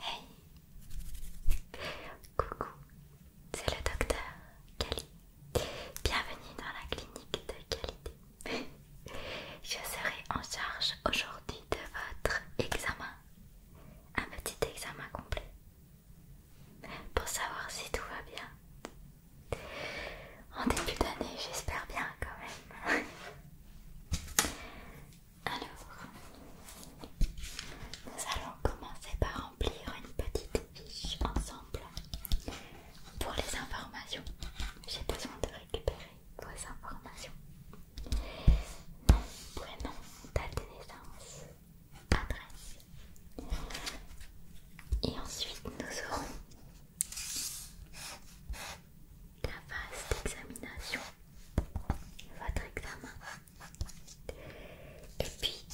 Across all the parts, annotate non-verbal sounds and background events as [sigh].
Hey Coucou, c'est le docteur Cali. Bienvenue dans la clinique de qualité. [laughs] Je serai en charge aujourd'hui de votre examen. Un petit examen complet. Pour savoir si tout va bien. En début d'année, j'espère bien quand même. [laughs] Alors, nous allons commencer par remplir une petite fiche ensemble pour les informations. J'ai besoin de récupérer vos informations. Nom, prénom, date de naissance, adresse. Et ensuite, nous aurons la phase d'examination, votre examen. Et puis,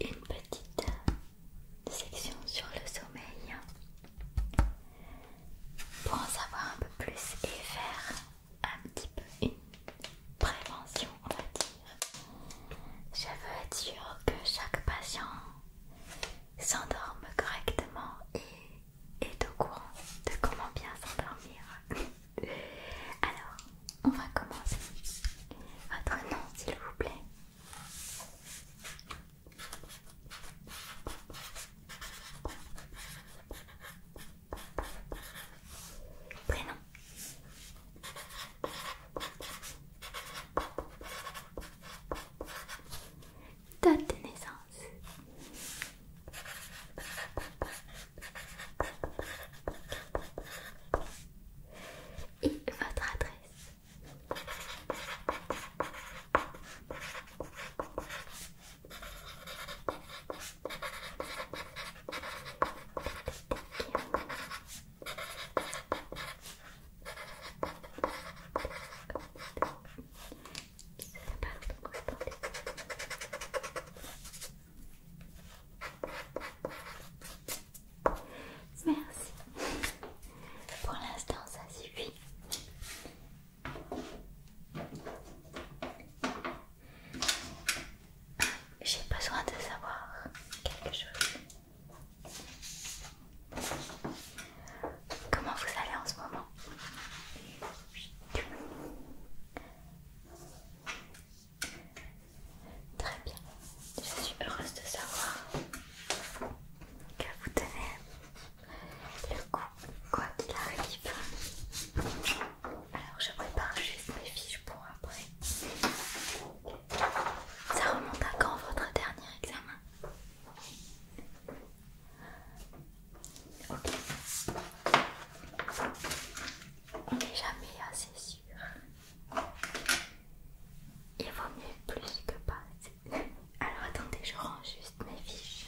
une petite euh, section sur le sommeil pour en savoir un peu plus et faire un petit peu une prévention, on va dire. Je veux être sûre que chaque patient s'endorme correctement et est au courant de comment bien s'endormir. [laughs] Alors, on va commencer. Votre nom, s'il vous plaît. Prénom. Date de naissance et votre adresse. Merci. Pour l'instant, ça suffit. J'ai besoin de savoir quelque chose. Comment vous allez en ce moment Très bien, je suis heureuse de savoir que vous tenez le coup, quoi qu'il arrive. Alors je prépare juste mes fiches pour après. Ça remonte à quand votre dernier examen Ok. On n'est jamais assez sûr. Il vaut mieux plus que pas. Alors attendez, je range juste mes fiches.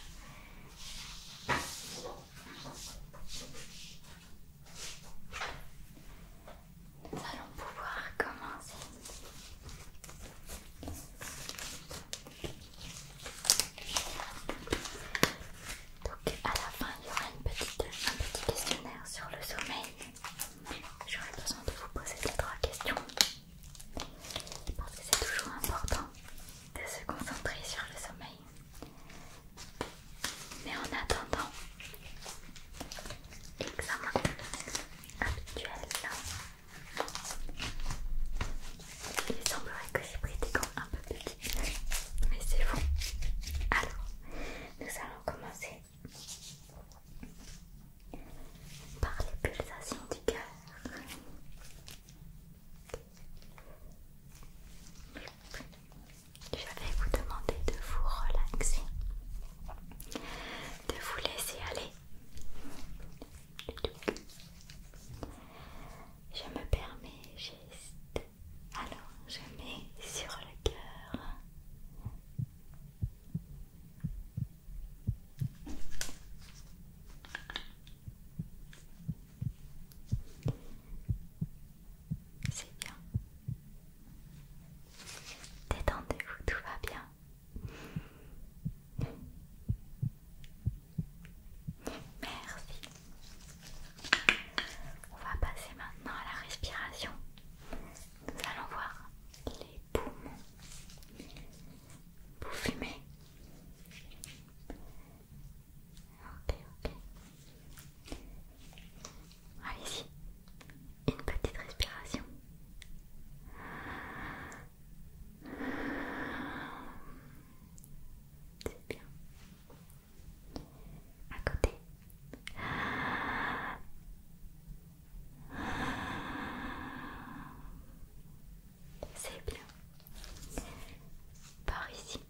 Nous allons pouvoir commencer. Donc à la fin il y aura un petit questionnaire sur le sommeil. J'aurai besoin de vous poser les trois questions. Parce que c'est toujours important de se concentrer sur le sommeil. Mais en attendant, examen habituel. Il semblerait que j'ai pris des gants un peu plus mais c'est bon. Alors, nous allons commencer par les pulsations du cœur. Je vais vous demander de vous relaxer, de vous laisser aller. Je me permets juste. Alors, je mets sur le cœur. C'est bien. Détendez-vous, tout va bien. Merci. On va passer maintenant à la respiration. Nous allons voir les poumons. Vous fumez Ok, ok. Allez-y. Une petite respiration. C'est bien. À côté. C'est bien. Par ici.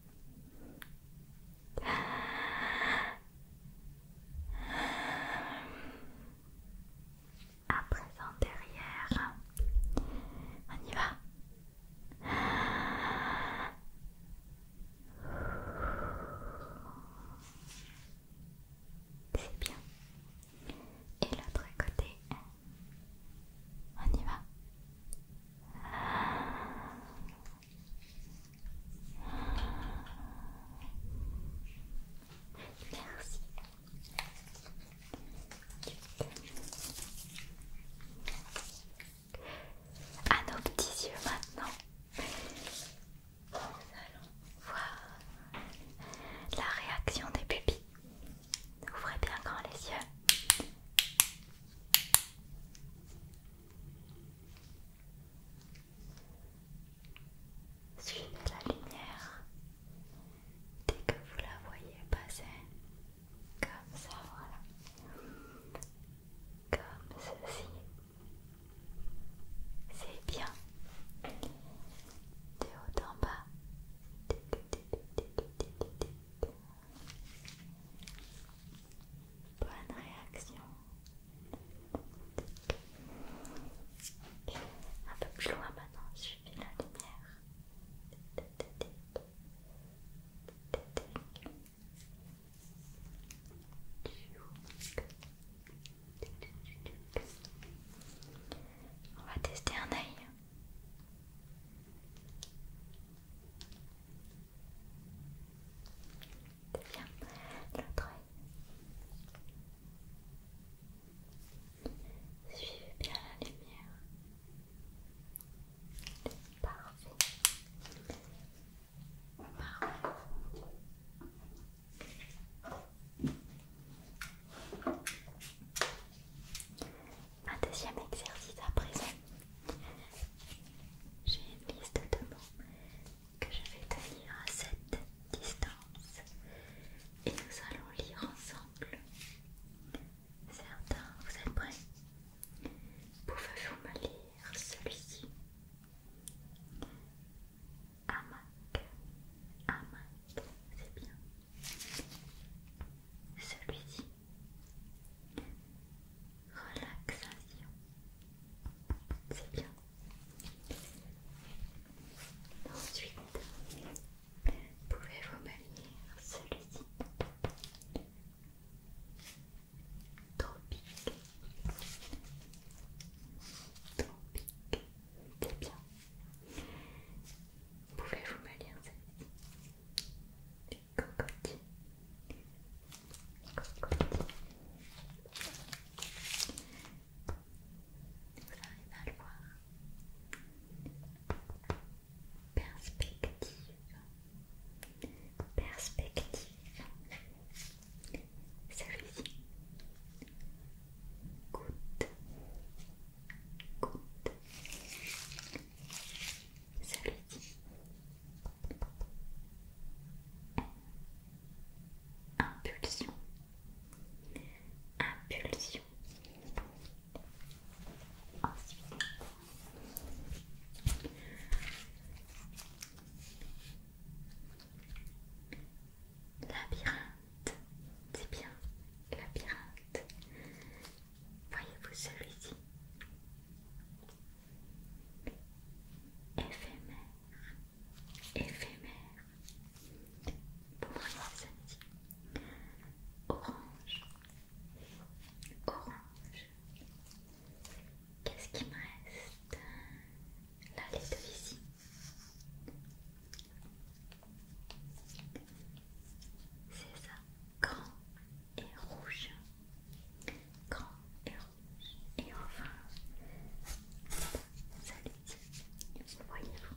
À présent derrière. On y va. C'est bien. Et l'autre côté. On y va. Merci. À nos petits yeux maintenant, nous allons voir la réaction des pupilles. Ouvrez bien grand les yeux. Suivez la lumière. Dès que vous la voyez passer, comme ça, voilà, comme ceci. C'est bien. De haut en bas. Bonne réaction. Un peu plus loin maintenant, je la lumière. On va tester un œil. Bien, l'autre œil. Suivez bien la lumière. Parfait. Parfait. Un deuxième exercice à présent. J'ai une liste de mots que je vais tenir à cette distance et nous allons lire ensemble certains, vous êtes prêts Pouvez-vous me lire celui-ci Amak, Amak, c'est bien. Celui-ci, relaxation, c'est bien. Ensuite, Pouvez-vous me lire celui-ci Tropique. Tropique. C'est bien. Pouvez-vous me lire celui-ci Cocot. Cocotier. Vous arrivez à le voir perspective, perspective, celui-ci, goutte, goutte, ci impulsion, impulsion labyrinthe, c'est bien, labyrinthe. Voyez-vous celui-ci Éphémère, éphémère. Pour moi, samedi. Orange, orange. Qu'est-ce qui me reste La les ici. C'est ça, grand et rouge. Grand et rouge. Et enfin, ça ci voyez-vous.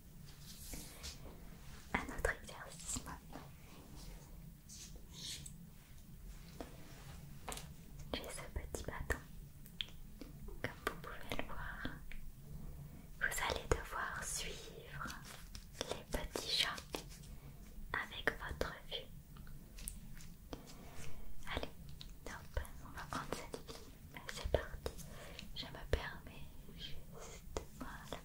Un autre exercice J'ai ce petit bâton. Comme vous pouvez le voir, vous allez devoir suivre les petits chats avec votre vue. Allez, hop, on va prendre cette vie. C'est parti. Je me permets juste voilà.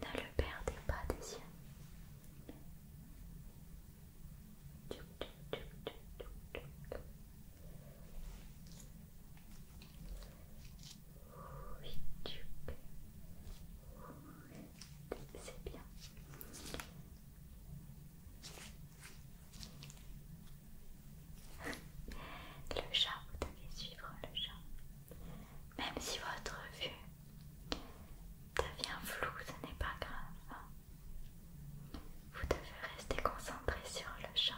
Ne le perdez pas des yeux. c'est bien. Le chat, vous devez suivre le chat. Même si votre vue devient floue, ce n'est pas grave. Hein. Vous devez rester concentré sur le chat.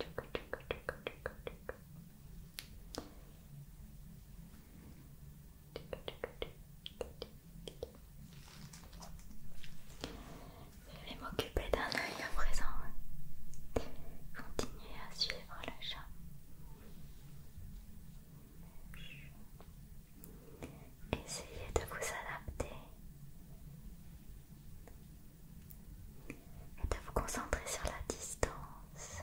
Je vais m'occuper d'un œil à présent. Continuez à suivre le chat. Essayez de vous adapter et de vous concentrer sur la distance.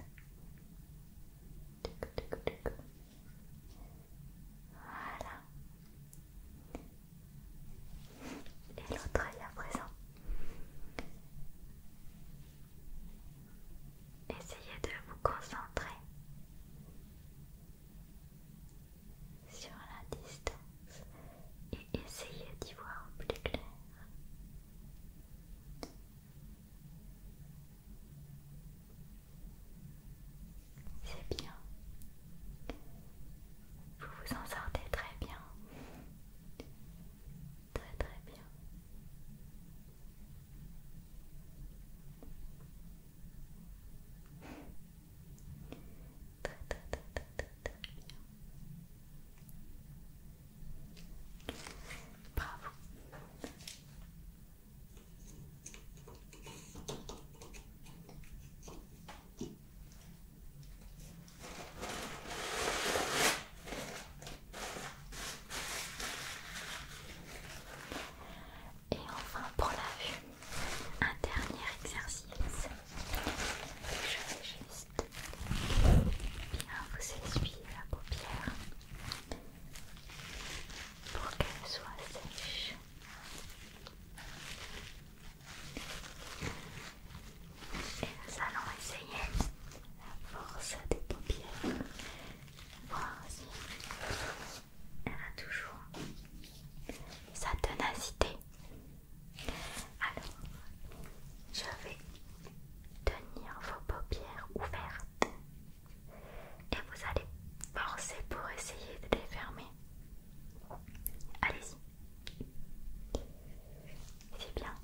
Voilà. Et l'autre œil à présent. Essayez de vous concentrer sur la distance Essayez d'y voir plus clair. C'est bien. Vous vous en sortez très bien. Très très bien. très, très, très, très, très bien. Et enfin pour la vue, un dernier exercice. Bien, vous essuyez la paupière pour qu'elle soit sèche. Et nous allons essayer la force des paupières. Voir si elle a toujours sa tenacité. Alors, je vais tenir vos paupières ouvertes et vous allez forcer pour essayer de les fermer. Allez-y. C'est bien.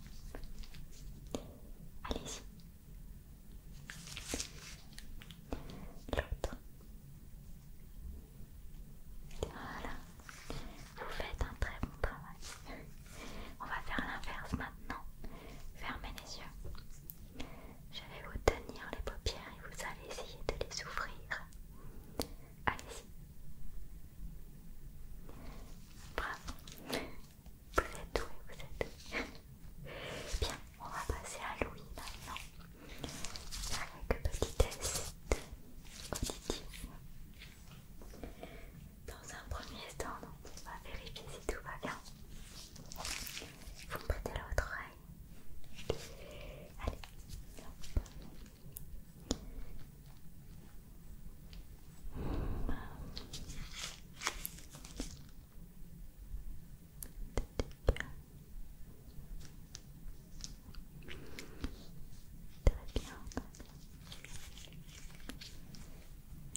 Allez-y. L'autre. Voilà. Vous faites un très bon travail. On va faire l'inverse maintenant. Fermez les yeux. Je vais vous tenir les paupières et vous allez essayer de les ouvrir. Allez-y. Bravo. Vous êtes doué, vous êtes doué. Bien, on va passer à Louis maintenant. Avec un petit test dans un premier temps, on va vérifier si tout va bien. Vous me prêtez l'autre oreille. Allez. Très bien.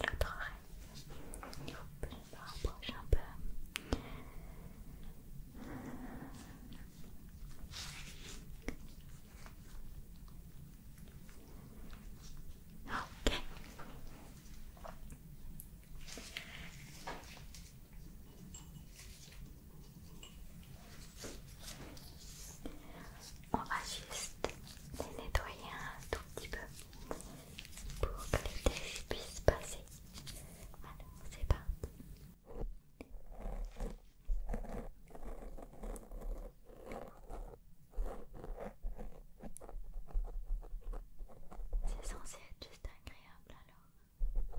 L'autre oreille. Je me rapproche un peu. Ok. On va juste les nettoyer un tout petit peu pour que les déchets puissent passer. Alors, c'est pas. C'est censé être juste agréable alors.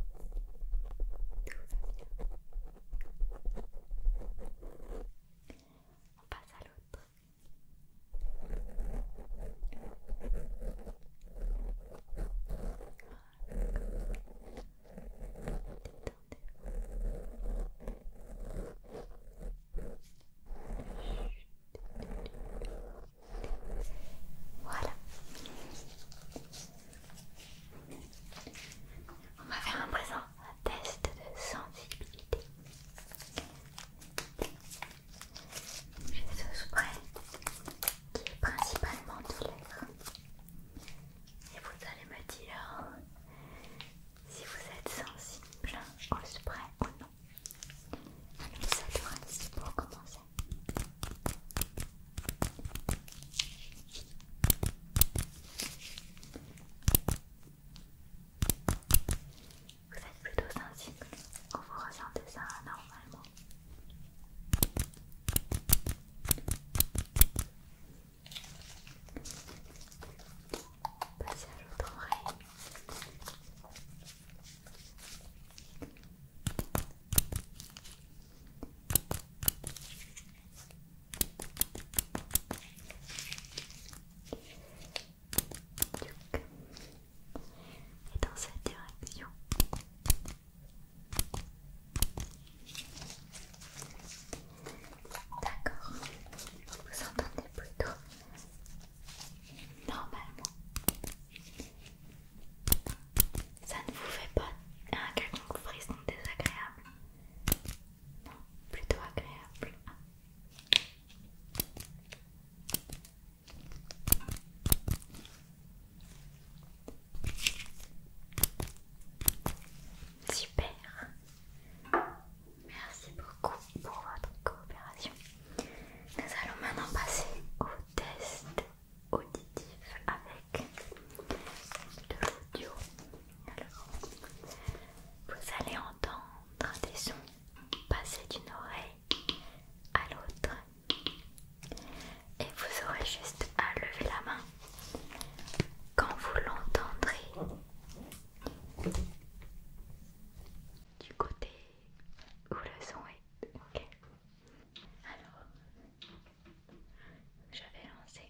Tout va bien. On passe à l'autre. Voilà. On va faire un présent un test de sensibilité. J'ai ce spray qui est principalement de l'air. Et vous allez me dire si vous êtes sensible au spray ou non. Alors ça devrait reste pour commencer. Vous êtes plutôt sensible quand vous ressentez ça normalement. Passez à l'autre oreille. Et dans cette direction. D'accord. Vous entendez plutôt normalement. Ça ne vous fait pas un quelconque frisson désagréable plutôt agréable. Super. Merci beaucoup pour votre coopération. Nous allons maintenant passer au test auditif avec de l'audio. Alors, vous allez entendre des sons passer d'une oreille à l'autre et vous aurez juste à lever la main quand vous l'entendrez du côté où le son est. ok Alors, je vais lancer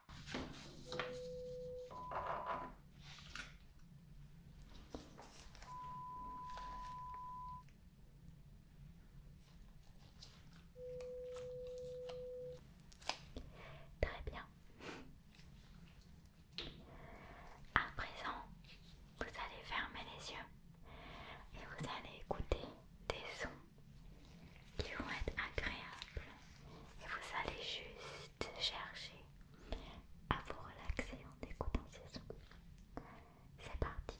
Très bien. À présent, vous allez fermer les yeux et vous allez écouter des sons qui vont être agréables et vous allez juste chercher à vous relaxer en écoutant C'est parti.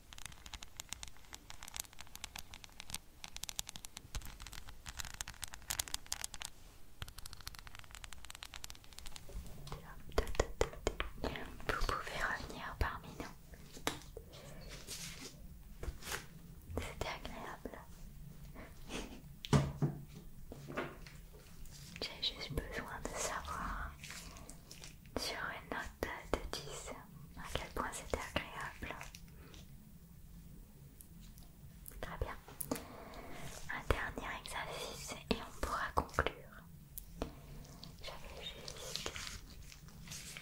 Vous pouvez revenir parmi nous. C'était agréable. J'ai juste besoin de savoir sur une note de 10, à quel point c'était agréable. Très bien. Un dernier exercice et on pourra conclure. J'avais juste,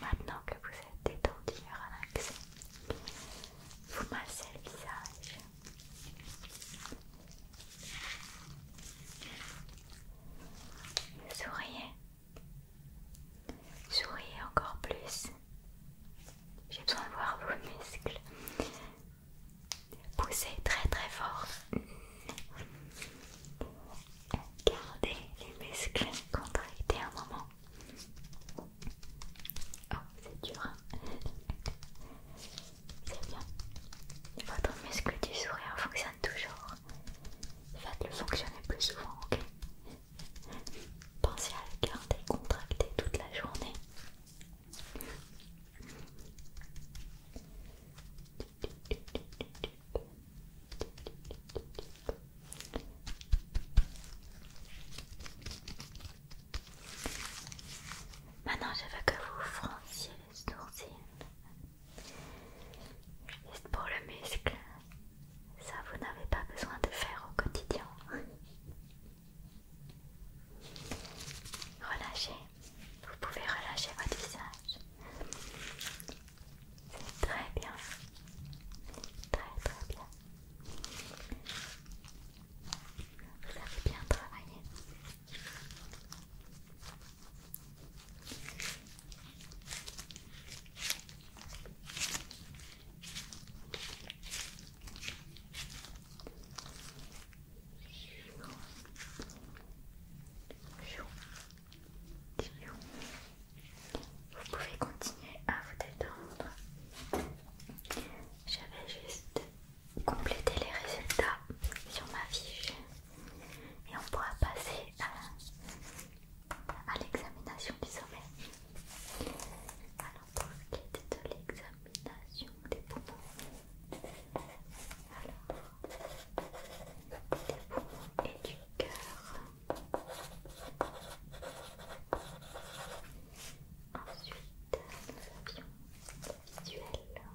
maintenant que vous êtes détendu et relaxé, vous massez le visage. Souriez Souriez encore plus. J'ai besoin de voir vos muscles. Poussez très très fort. Gardez les muscles contractés un moment. Oh, c'est dur. Hein. c'est bien. Votre muscle du sourire fonctionne toujours. Faites-le fonctionner plus souvent, ok Pensez à le garder contracté toute la journée. Maintenant, je veux que vous franciez les sourcils Juste pour le muscle, ça vous n'avez pas besoin de faire au quotidien. Relâchez, vous pouvez relâcher votre visage. C'est très bien, très très bien. Vous avez bien travaillé. Vous pouvez continuer à vous détendre. J'avais juste complété les résultats sur ma fiche et on pourra passer à, l'examination du sommeil. Alors, pour ce qui est de l'examination des poumons, alors, des poumons et du cœur. Ensuite, nous avions le visuel.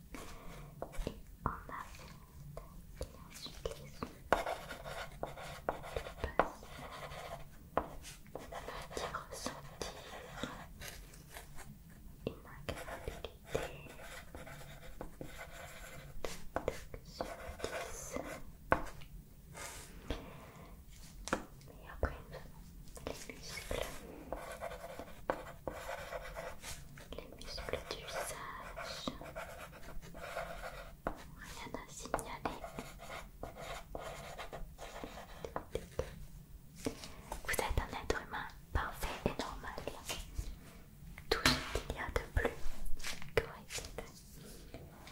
en avant les sons on va petit ressentir une sur 10 et après les muscles les muscles du visage. Rien à signaler. Vous êtes un être humain parfait et normal. Tout ce qu'il y a de plus correct.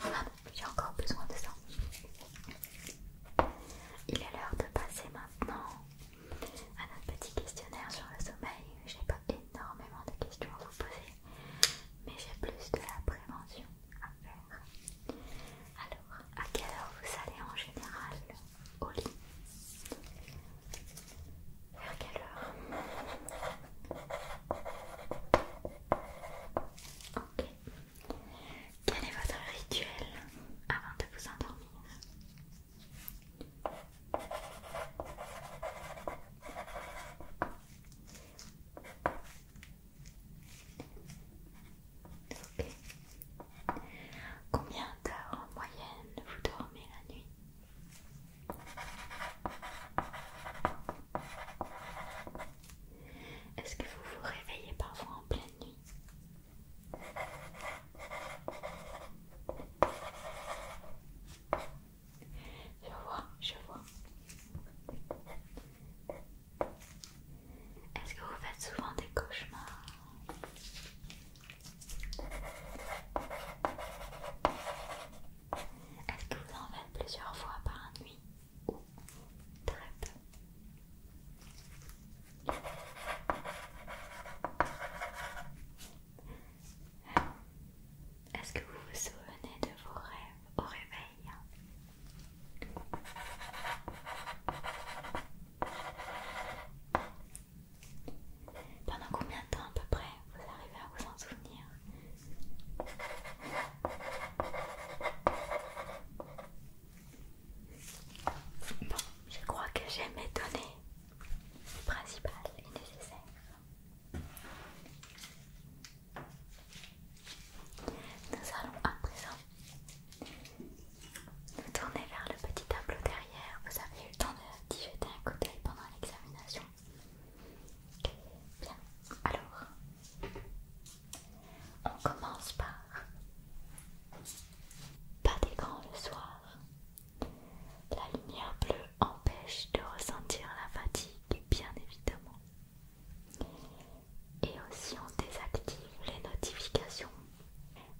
Ah, j'ai encore besoin de ça. Il est l'heure de passer maintenant à notre petit questionnaire sur le sommeil. J'ai pas énormément de questions à vous poser, mais j'ai plus de la prévention à faire. Alors, à quelle heure vous allez en général au lit Vers quelle heure Ok. Quel est votre rituel avant de vous endormir Combien d'heures en moyenne vous dormez la nuit Est-ce que vous vous réveillez parfois en pleine nuit je vois, je vois. Est-ce que vous faites souvent des cauchemars Est-ce que vous en faites plusieurs fois par nuit très peu est-ce que vous vous souvenez de vos rêves au réveil Pendant combien de temps à peu près vous arrivez à vous en souvenir Bon, je crois que j'ai mes données principales et nécessaires. Nous allons à présent nous tourner vers le petit tableau derrière. Vous avez eu le temps d'y jeter un coup d'œil pendant l'examination. Bien, alors, on commence par pas d'écran le soir. La lumière bleue empêche de ressentir la fatigue, bien évidemment. Et aussi on désactive les notifications.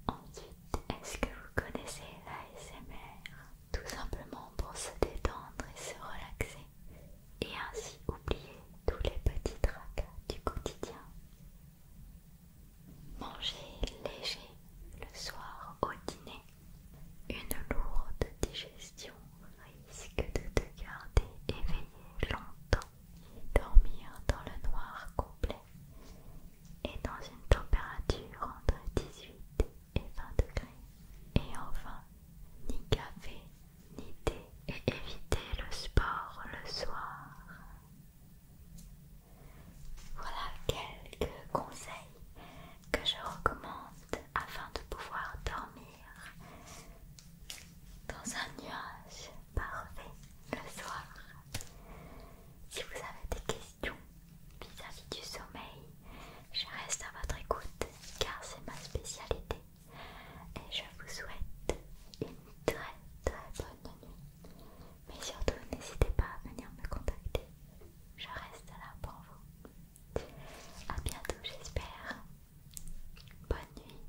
Ensuite, est-ce que vous connaissez l'ASMR Tout simplement pour se détendre et se relaxer et ainsi oublier tous les petits tracas du quotidien. Manger léger le soir au dîner. Une lourde digestion risque de te garder éveillé longtemps. Dormir dans le noir complet et dans une température entre 18 et 20 degrés. Et enfin, ni café, ni thé et éviter le sport le soir. Voilà quelques conseils que je recommande afin de pouvoir dormir dans un nuage parfait le soir. Si vous avez des questions vis-à-vis du sommeil, je reste à votre écoute car c'est ma spécialité et je vous souhaite une très très bonne nuit. Mais surtout, n'hésitez pas à venir me contacter. Je reste là pour vous. A bientôt, j'espère. Bonne nuit.